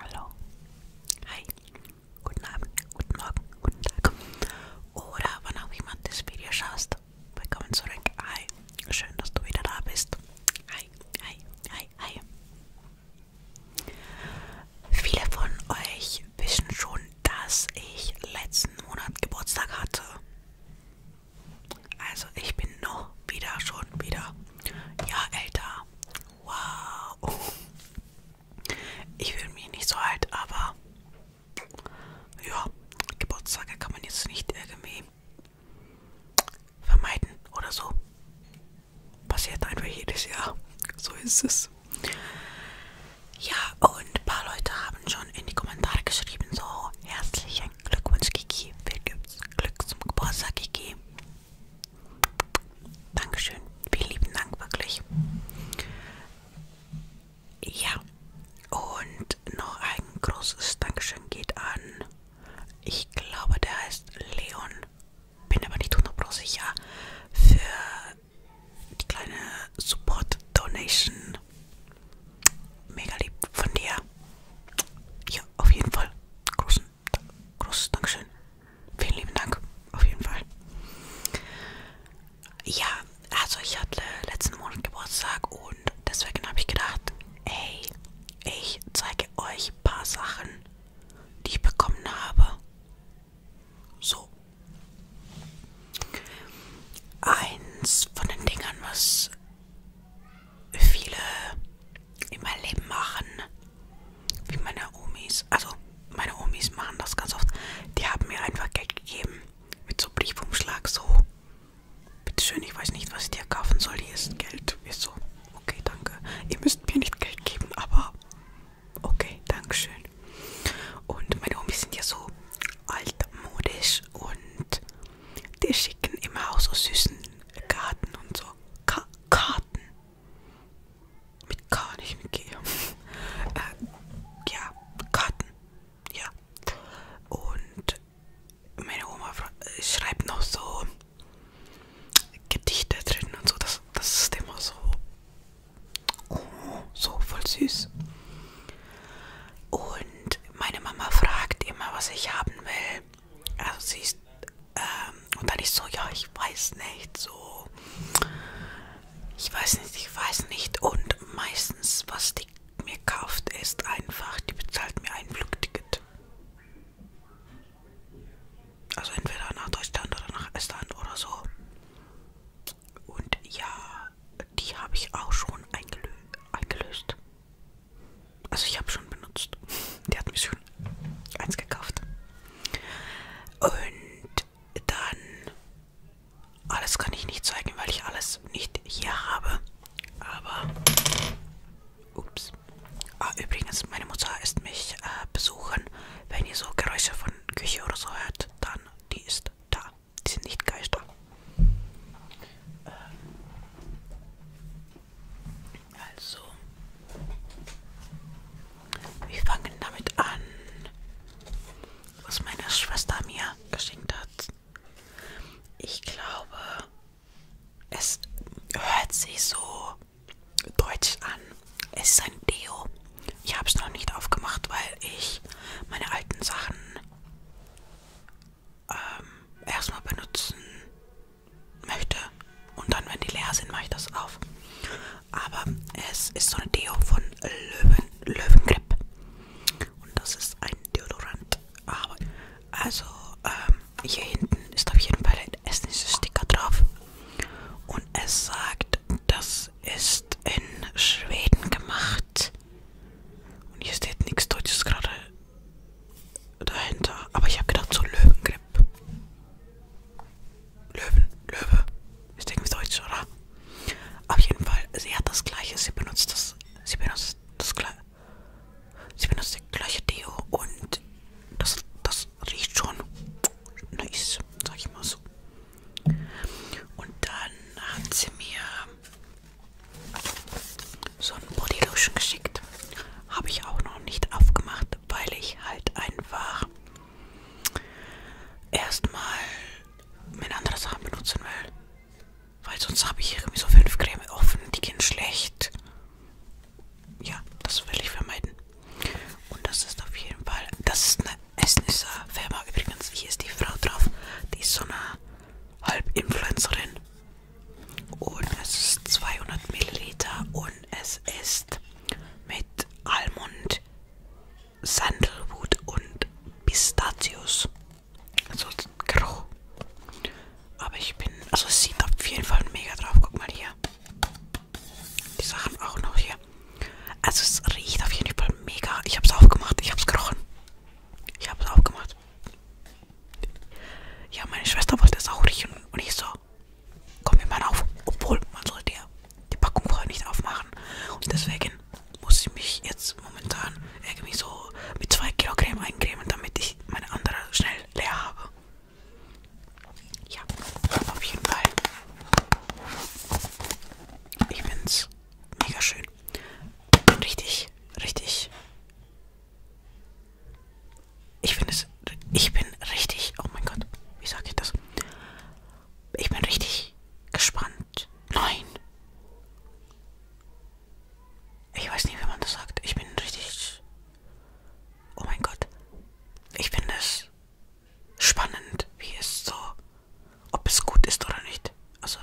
Hallo. Hi. Guten Abend, guten Morgen, guten Tag. Oder wann auch immer das Video schaust. Willkommen zurück. Hi. Schön, dass du wieder da bist. Hi, hi, hi, hi. Viele von euch wissen schon, dass ich letzten Monat Geburtstag hatte. Also ich bin noch wieder schon wieder ja älter. Wow. Ich fühle mich nicht so alt, aber ja, Geburtstage kann man jetzt nicht irgendwie vermeiden oder so. Passiert einfach jedes Jahr. So ist es. Ja, und ein paar Leute haben schon schon in die Kommentare geschrieben. So, herzlichen Glückwunsch, Kiki. Viel Glück zum Geburtstag, Kiki. Dankeschön. Vielen lieben Dank, wirklich. Ja, und noch ein großes Dankeschön geht an. Ich glaube, der heißt Leon. Bin aber nicht 100% sicher. Für die kleine Support Donation. Mega lieb von dir. Ja, auf jeden Fall. Großen, großes Dankeschön. Vielen lieben Dank. Auf jeden Fall. Ja, also ich hatte letzten Monat Geburtstag und deswegen habe ich gedacht, ey, ich zeige euch ein paar Sachen, die ich bekommen habe. So, Eins von den Dingern, was viele in meinem Leben machen, wie meine Omis, also meine Omis machen das ganz oft, die haben mir einfach Geld gegeben mit so Briefumschlag, so, bitteschön, ich weiß nicht, was ich dir kaufen soll, hier ist Geld, ist so, okay, danke, ihr müsst mir nicht Geld geben, aber okay, dankeschön. Und meine Omis sind ja so altmodisch und die schicken immer auch so süßen Karten und so. Ka Karten. Mit K, nicht mit G. äh, ja, Karten. Ja. Und meine Oma schreibt noch so Gedichte drin und so. Das, das ist immer so Oh, so voll süß. Und meine Mama fragt immer, was ich haben will. Also sie ist, ähm, und dann ich so, ja, ich weiß nicht, so, ich weiß nicht, ich weiß nicht. Und meistens, was die mir kauft, ist einfach, die bezahlt mir ein Flugticket. Also entweder nach Deutschland oder nach Estland oder so. Und ja, die habe ich auch schon eingelö eingelöst. Also ich habe schon benutzt. Der hat mir schon eins gekauft. Und dann alles kann ich nicht zeigen, weil ich alles nicht hier habe. Aber ups. Ah, übrigens, meine Mutter ist mich äh, besuchen. Wenn ihr so Geräusche von Küche oder so hört, dann die ist da. Die sind nicht Geister. Ähm, also, wir fangen damit an, was meine Schwester mir geschenkt hat. Ich glaube, es hört sich so deutsch an. Es ist ein Deo. Ich habe es noch nicht aufgemacht, weil ich meine alten Sachen ähm, erstmal benutzen möchte. Und dann, wenn die leer sind, mache ich das auf. Aber es ist so eine Deo von Löwen, Löwengrip. Und das ist ein Deodorant. Aber also ähm, hier hinten ist auf jeden Fall ein Essenssticker drauf. Und es sagt, dass das ist in Schweden gemacht. Und hier steht nichts Deutsches gerade dahinter. Aber ich habe gedacht, so Löwengrip. Löwen, Löwe. Ist irgendwie Deutsch, oder? Auf jeden Fall, sie hat das gleiche. Sie benutzt das. Sie benutzt das gleiche. Sie benutzt das gleiche Deo und das, das riecht schon nice, sag ich mal so. Und dann hat sie mir so ein Bodylotion geschickt. Habe ich auch noch nicht aufgemacht, weil ich halt einfach erstmal meine andere Sachen benutzen will. Weil sonst habe ich irgendwie so fünf Creme offen, die gehen schlecht. Ja, das will ich vermeiden. Und das ist auf jeden Fall, das ist eine Esnisser Firma übrigens. Hier ist die Frau drauf, die ist so eine Halbinfluencerin. Und es ist 200 Milliliter und es ist mit Almond, Sandelwood und Pistazius. Also grau. Aber ich bin, also es sieht auf jeden Fall mega drauf. Guck mal hier. Die Sachen auch noch hier. Also es riecht auf jeden Fall mega. Ich habe es aufgemacht. Ich habe es gerochen. Ich habe es aufgemacht. Ja, meine Schwester wollte es auch riechen. Und ich so, komm, wir machen auf. Obwohl, man sollte ja die Packung vorher nicht aufmachen. Und deswegen muss ich mich jetzt momentan irgendwie so mit 2 Kilo Creme eincremen, damit ich meine andere schnell leer habe. Ja, auf jeden Fall. Ich bin's. Mega schön. Richtig, richtig. Ich finde es. Ich bin richtig. Oh mein Gott, wie sage ich das? Ich bin richtig gespannt. Nein. Ich weiß nicht, wie man das sagt. Ich bin richtig. Oh mein Gott. Ich finde es spannend, wie es so, ob es gut ist oder nicht. Also,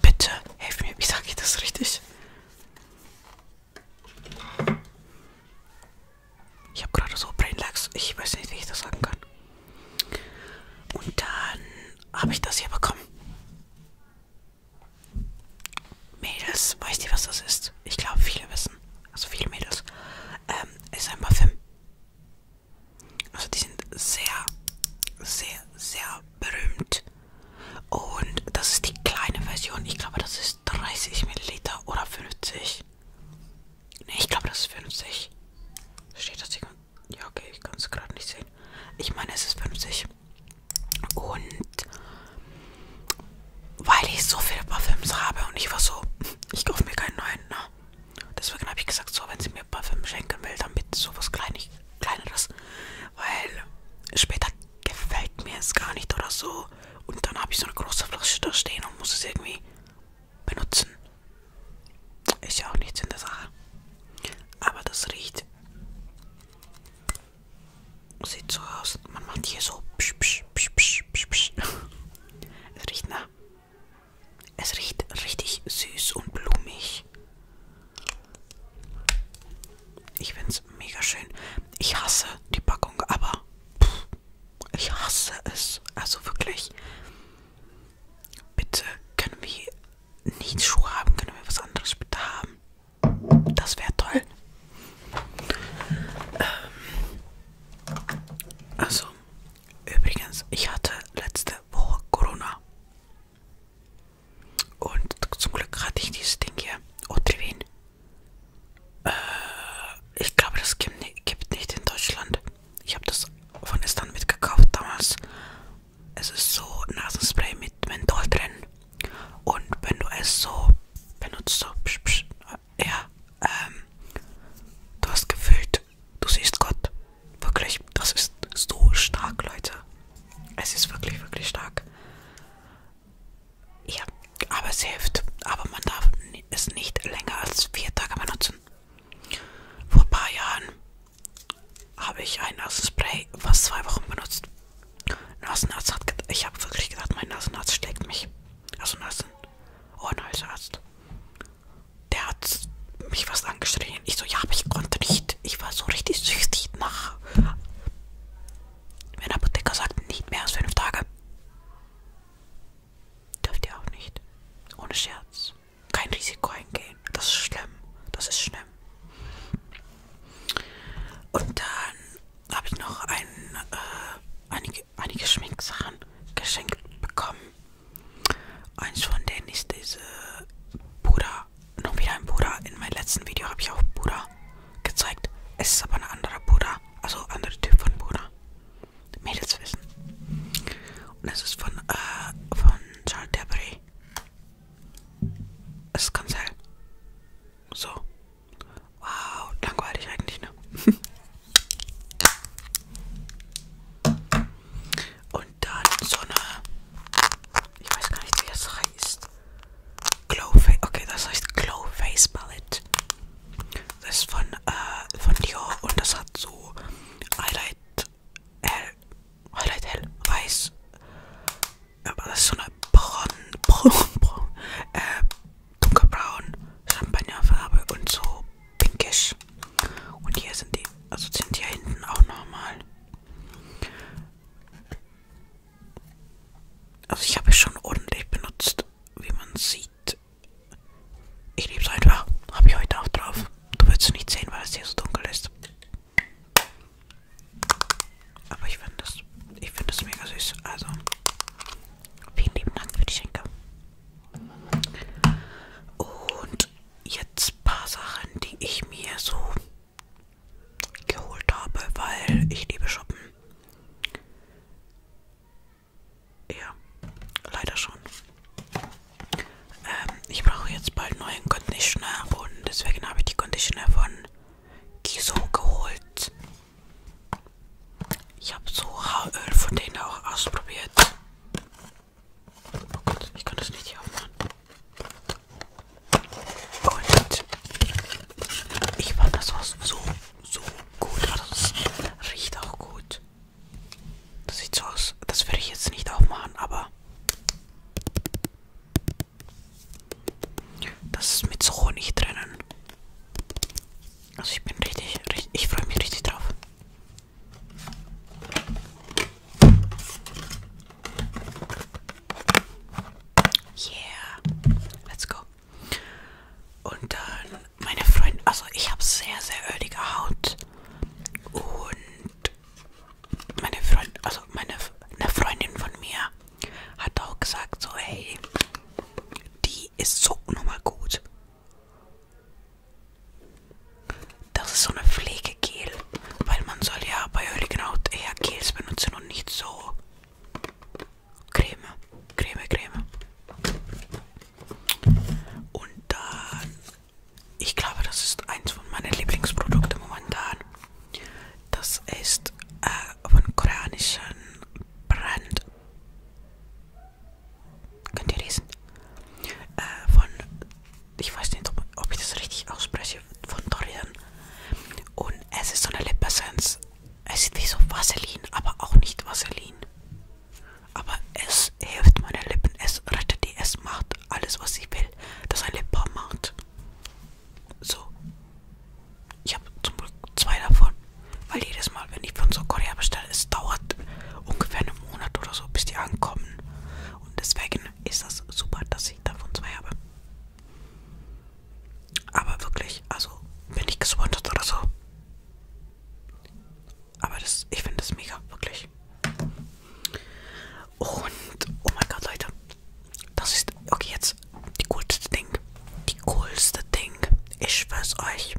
bitte, helf mir, wie sage ich das richtig? Ich habe gerade so Brainlags, ich weiß nicht, wie ich das sagen kann. Und dann habe ich das hier bekommen. Mädels, weißt ihr, was das ist? Ich glaube, viele wissen. Also viele Mädels ähm, ist ein Parfüm. Also die sind sehr, sehr, sehr berühmt. Und das ist die kleine Version. Ich glaube, das ist 30 Milliliter oder 50. Ne, ich glaube, das ist 50. Steht das hier? Ja, okay, ich kann es gerade nicht sehen. Ich meine, es ist 50. Und weil ich so viele Parfüms habe und ich war so, ich kaufe mir keinen neuen. Ne? Deswegen habe ich gesagt, so, wenn sie mir Parfüm schenken will, dann bitte sowas Kleinig, Kleineres, weil später gefällt mir es gar nicht oder so. Und dann habe ich so eine große Flasche da stehen und muss es irgendwie benutzen. Ist ja auch nichts in der Sache. Aber das riecht. Sieht so aus. Man macht hier so psch, psch, psch, psch, psch, psch. Es riecht nach. Es riecht richtig süß und blumig. Ich finde es mega schön. Ich hasse die Packung, aber pff, ich hasse es. Also wirklich. Bitte können wir nicht Schuhe haben, können wir was anderes bitte haben. Das wäre toll. Ähm, also, übrigens, ich hatte letzte Woche Corona. Und zum Glück hatte ich dieses Ding hier. Otrivin. Äh, ich glaube, das gibt nicht in Deutschland. Ich habe das von Estan mitgekauft damals. Es ist so Nasenspray mit Menthol drin. Und wenn du es so benutzt, so, psch, psch, ja, ähm, du hast gefühlt, du siehst Gott. Wirklich, das ist so stark, Leute. Es ist wirklich, wirklich stark. Ja, aber es hilft. Aber man darf es nicht länger als vier Tage benutzen. Vor ein paar Jahren habe ich ein Nasenspray fast zwei Wochen benutzt. Nasenarzt hat, ich habe wirklich gedacht, mein Nasenarzt schlägt mich. Also ein Arzt. Oh, ein nice Arzt. Der hat mich was angeschrien. Ich so, ja, aber ich konnte nicht. Ich war so richtig süchtig nach. Wenn der Apotheker sagt, nicht mehr als fünf Tage. Dürft ihr auch nicht. Ohne Scherz. Kein Risiko eingehen. Das ist schlimm. Das ist schlimm. Und dann habe ich noch ein, äh, einige, einige Schminksachen geschenkt bekommen. Eins von denen ist diese Buddha. Noch wieder ein Buddha. In meinem letzten Video habe ich auch Buddha gezeigt. Es ist aber ein anderer Buddha. Also ein anderer Typ von Buddha. Mädels wissen. Und es ist von, äh, von Charles Debris. Es ist ganz hell. So. Wow, langweilig eigentlich, ne? Und dann so eine. Ich weiß gar nicht, wie das heißt. Glow Face. Okay, das heißt Glow Face Palette. Das ist von, äh, von Dior und das hat so Highlight hell. Highlight hell. Weiß aber das ist so eine Braun, Braun, Braun, äh, dunkelbraun Champagnerfarbe und so pinkisch. Und hier sind die, also sind hier hinten auch nochmal. Also ich habe es schon ordentlich benutzt, wie man sieht. Ich liebe es einfach. Habe ich heute auch drauf. Du wirst es nicht sehen, weil es hier so dunkel ist. Aber ich finde das, ich finde das mega süß. Also, vielen lieben Dank für die Schenke. Und jetzt ein paar Sachen, die ich mir so geholt habe, weil ich liebe shoppen. Ja, leider schon. Ähm, ich brauche jetzt bald neuen Conditioner und deswegen habe ich die Conditioner von die so geholt. Ich habe so Haaröl von denen auch ausprobiert. Oh Gott, ich kann das nicht hier aufmachen. Und ich fand das war so, so gut. Also das riecht auch gut. Das sieht so aus. Das werde ich jetzt nicht aufmachen, aber das ist mit so Honig drinnen. Also ich bin richtig, richtig ich freue mich richtig drauf. Yeah, let's go. Und dann meine Freunde, also ich habe sehr, sehr ölige Haut und meine Freundin, also meine eine Freundin von mir hat auch gesagt, so hey, die ist so nochmal gut. Das ist so eine Pflegegel, weil man soll ja bei Hölligenhaut eher Gels benutzen und nicht so Creme, Creme, Creme. Und dann, ich glaube, das ist eins von meinen Lieblingsprodukten momentan. Das ist äh, von koreanischen Brand. Könnt ihr lesen? Äh, von, ich weiß nicht, ob, ob ich das richtig ausspreche, von Dorian. Und es ist so eine Lipessenz. Es ist wie so Vaseline, aber auch nicht Vaseline. Aber es hilft meine Lippen, es rettet die, es macht alles, was ich will, dass ein Lippenbalm macht. So. Ich habe zum Glück zwei davon. Weil jedes Mal, wenn ich von Südkorea bestelle, es dauert ungefähr einen Monat oder so, bis die ankommen. Und deswegen ist das super, dass ich davon zwei habe. Aber wirklich, also bin ich gesponsert oder so. Aber das, ich finde das mega, wirklich. Und oh mein Gott, Leute, das ist okay jetzt die coolste Ding. Die coolste Ding. Ich schwör's euch.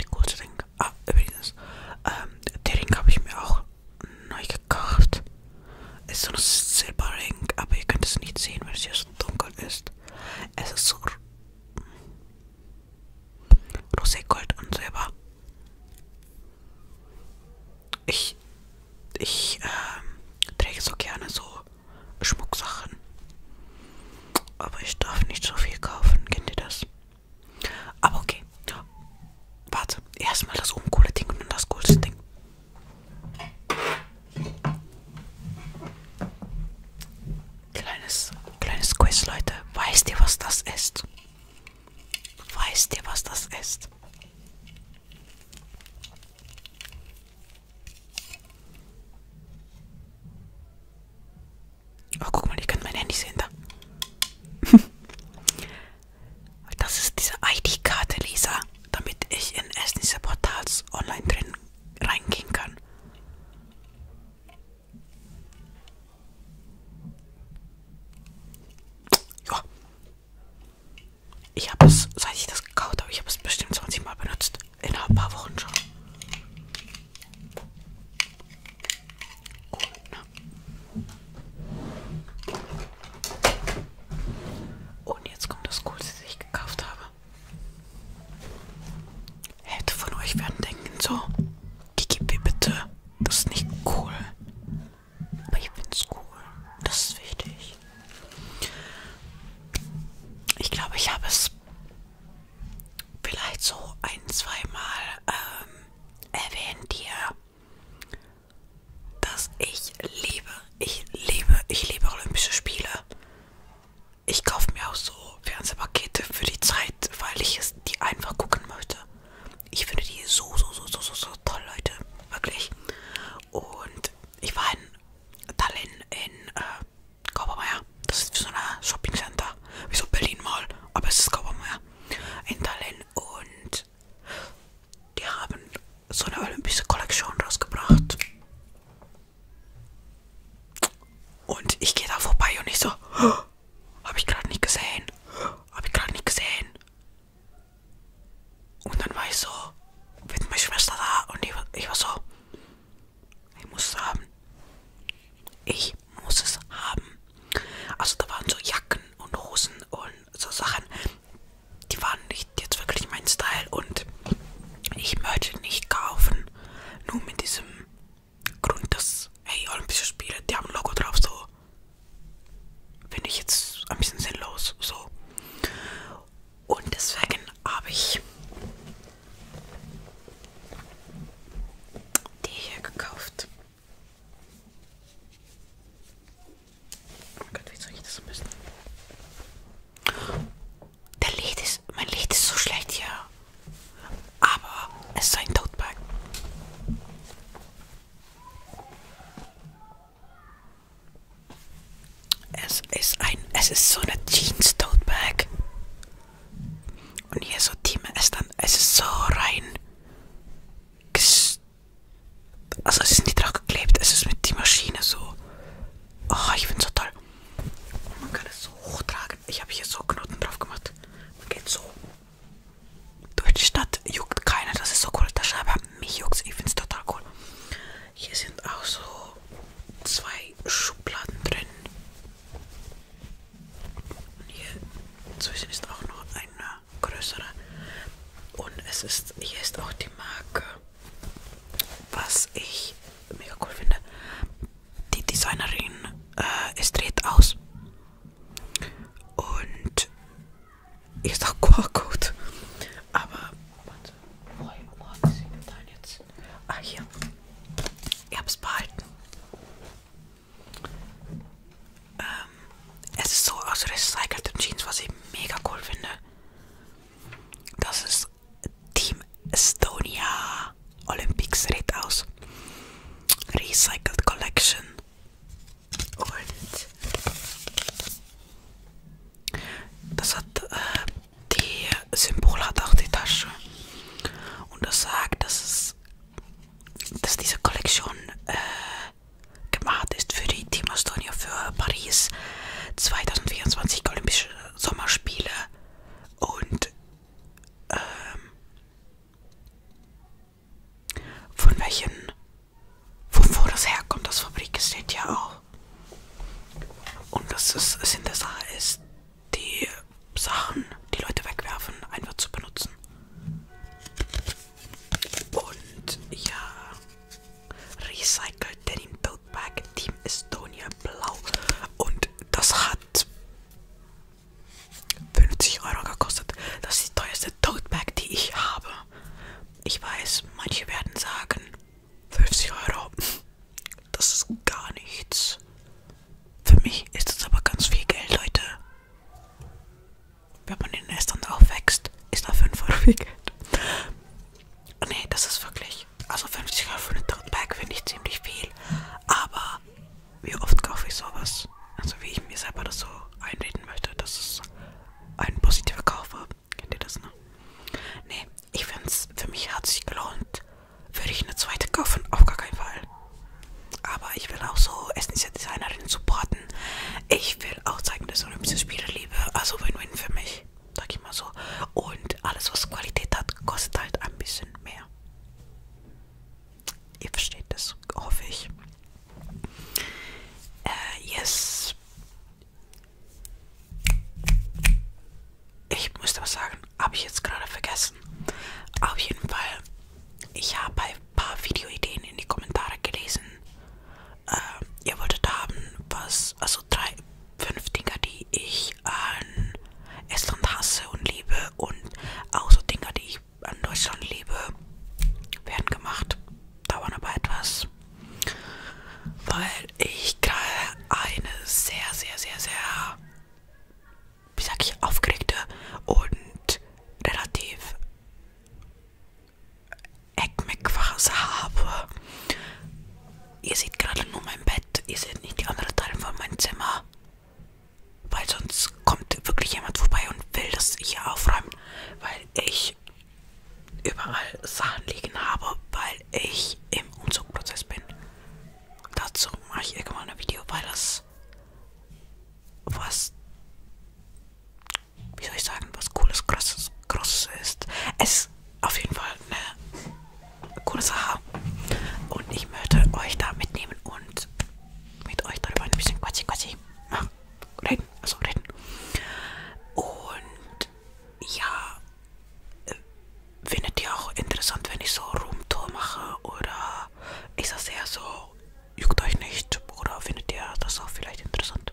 Die coolste Ding. Ah, übrigens. Ähm, der Ring habe ich mir auch neu gekauft. Ist so ein Silberring, aber ihr könnt es nicht sehen, weil es hier so dunkel ist. Es ist so Roségold und Silber ich ich äh, träge so gerne so Schmucksachen. Aber ich darf nicht so viel kaufen. Kennt ihr das? Aber okay. Ja. Warte. Erstmal das uncoole Ding und dann das coolste Ding. Kleines, kleines Quiz, Leute. Weißt ihr, was das ist? Weißt ihr, was das ist? Oh, guck mal, ich kann mein Handy sehen da. das ist diese ID-Karte, Lisa, damit ich in Essen diese Portals online drin reingehen kann. Ja. Ich habe es, seit ich das gekauft habe, ich habe es bestimmt 20 Mal benutzt. In ein paar Wochen schon. Und, ne? Und jetzt kommt das Coolste, das ich gekauft habe. Hätte von euch werden denken so, Kiki, bitte, das ist nicht cool. Aber ich finde es cool. Das ist wichtig. Ich glaube, ich habe es vielleicht so ein, zweimal ähm, erwähnt hier, dass ich liebe, ich liebe, ich liebe Olympische Spiele. Ich kaufe mir auch so Fernsehpakete für die Zeit, weil ich es die einfach gucken möchte. Ich finde die so, so, so, so, so, so toll, Leute. Wirklich. Und ich war in Tallinn in äh, Kaubermeier. Das ist so ein Shoppingcenter. Wie so Berlin Mall. Aber es ist Kaubermeier. In Tallinn. Und die haben so eine olympische Kollektion rausgebracht. Und ich gehe da vorbei und ich so, oh, habe ich gerade nicht gesehen. Habe ich gerade nicht gesehen. Und dann war ich so, wird meine Schwester da? Und ich, ich war so, ich muss es haben. Ich muss es haben. Also da waren so Jacken und Hosen und so Sachen, die waren nicht jetzt wirklich mein Style und ich möchte nicht kaufen. Nur mit diesem Grund, dass, hey, Olympische Spiele, die haben ein Logo drauf, so Finde ich jetzt ein bisschen sinnlos. So. Und deswegen habe ich die hier gekauft. Oh mein Gott, wie soll ich das am besten? Der Licht ist, mein Licht ist so schlecht hier. Aber es ist ein Tote Bag. Es ist ein, es ist so eine Jeans Tote Bag. Und hier so Team es dann, es ist so rein. Also es ist nicht draufgeklebt, es ist mit die Maschine so. Oh, ich find's so toll. Man kann es so hochtragen. Ich habe hier so Knoten drauf gemacht. Man geht so durch die Stadt juckt keiner, das ist so cool. Das Scheibe, mich juckt ich finde es total cool. Hier sind auch so zwei Schubladen drin. Und hier zwischen ist auch noch eine größere. Und es ist, hier ist auch die Marke, was ich mega cool finde. Die Designerin, äh, es dreht aus. Und ich sag QR-Code. Aber, warte, wo habe ich denn jetzt? Ah, hier. Ich hab's behalten. Ähm, es ist so aus also recycelten Jeans, was ich mega cool finde. Das ist Team Estonia Olympics sieht aus. Recycled Collection und das hat äh, die Symbol hat auch die Tasche und das sagt, dass es dass diese Kollektion äh, gemacht ist für die Team Estonia für Paris 2024 Olympische Sommerspiele und ähm, von welchen, von wo das herkommt, das Fabrik steht ja auch. Und das ist, Sinn der Sache ist, die Sachen, die Leute wegwerfen, einfach zu benutzen. Und ja, Recycled Denim Tote Bag Team Estonia Blau. Und das hat 50 Euro gekostet. Das ist die teuerste Tote Bag, die ich habe. Ich weiß, manche werden sagen, 50 Euro, das ist gar nichts. Für mich ist das aber ganz viel Geld, Leute. Wenn man in Estern aufwächst, ist da 5 Euro viel Geld. Nee, das ist wirklich, also 50 Euro für eine Tote Bag finde ich ziemlich viel. Aber wie oft kaufe ich sowas? Also wie ich mir selber das so einreden möchte, dass es ein positiver Kauf war. Kennt ihr das, ne? Nee, ich find's, für mich hat sich gelohnt. Würde ich eine zweite kaufen? Auf gar keinen Fall. Aber ich will auch so Essensdesignerinnen supporten. Ich will auch zeigen, dass ich Olympische Spiele liebe. Also Win-Win für mich. Sag ich mal so. Und alles, was Qualität hat, kostet halt ein bisschen mehr. Ihr versteht das, hoffe ich. Äh, yes. Ich musste was sagen, habe ich jetzt gerade vergessen. Auf jeden Fall, ich habe ein paar Videoideen in die Kommentare gelesen. Äh, ihr wolltet haben, was, also drei, fünf Dinger, die ich an Estland hasse und liebe und auch so Dinger, die ich an Deutschland liebe, werden gemacht. Dauern aber etwas, weil ich gerade eine sehr, sehr, sehr, sehr, wie sag ich, aufgeregte und relativ Eckmeckphase habe. Ihr seht gerade nur mein Bett, ihr seht nicht die anderen Teile von meinem Zimmer. Weil sonst kommt wirklich jemand vorbei und will das hier aufräumen, weil ich überall Sachen liegen habe, weil ich im Umzugprozess bin. Dazu mache ich irgendwann ein Video, weil das was, wie soll ich sagen, was cooles, krasses, großes ist. Es ist auf jeden Fall eine cooles Haar. Und ich möchte euch da mitnehmen und mit euch darüber ein bisschen quatschi quatschi machen. Reden, also reden. Und ja, äh, findet ihr auch interessant, wenn ich so Roomtour mache oder ist das eher so, juckt euch nicht oder findet ihr das auch vielleicht interessant?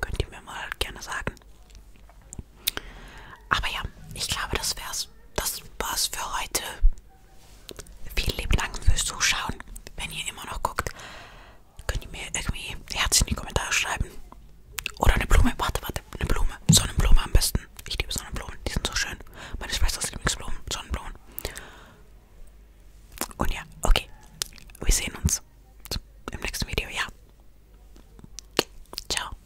Könnt ihr mir mal gerne sagen. Aber ja, ich glaube, das wär's. Das war's für heute. Vielen lieben Dank fürs Zuschauen. Wenn ihr immer noch guckt, könnt ihr mir irgendwie ein Herz in die Kommentare schreiben. Oder eine Blume. Warte, warte. Eine Blume. Sonnenblume am besten. Ich liebe Sonnenblumen. Die sind so schön. Meine Schwesters Lieblingsblumen. Sonnenblumen. Und ja, okay. Wir sehen uns im nächsten Video. Ja. Ciao.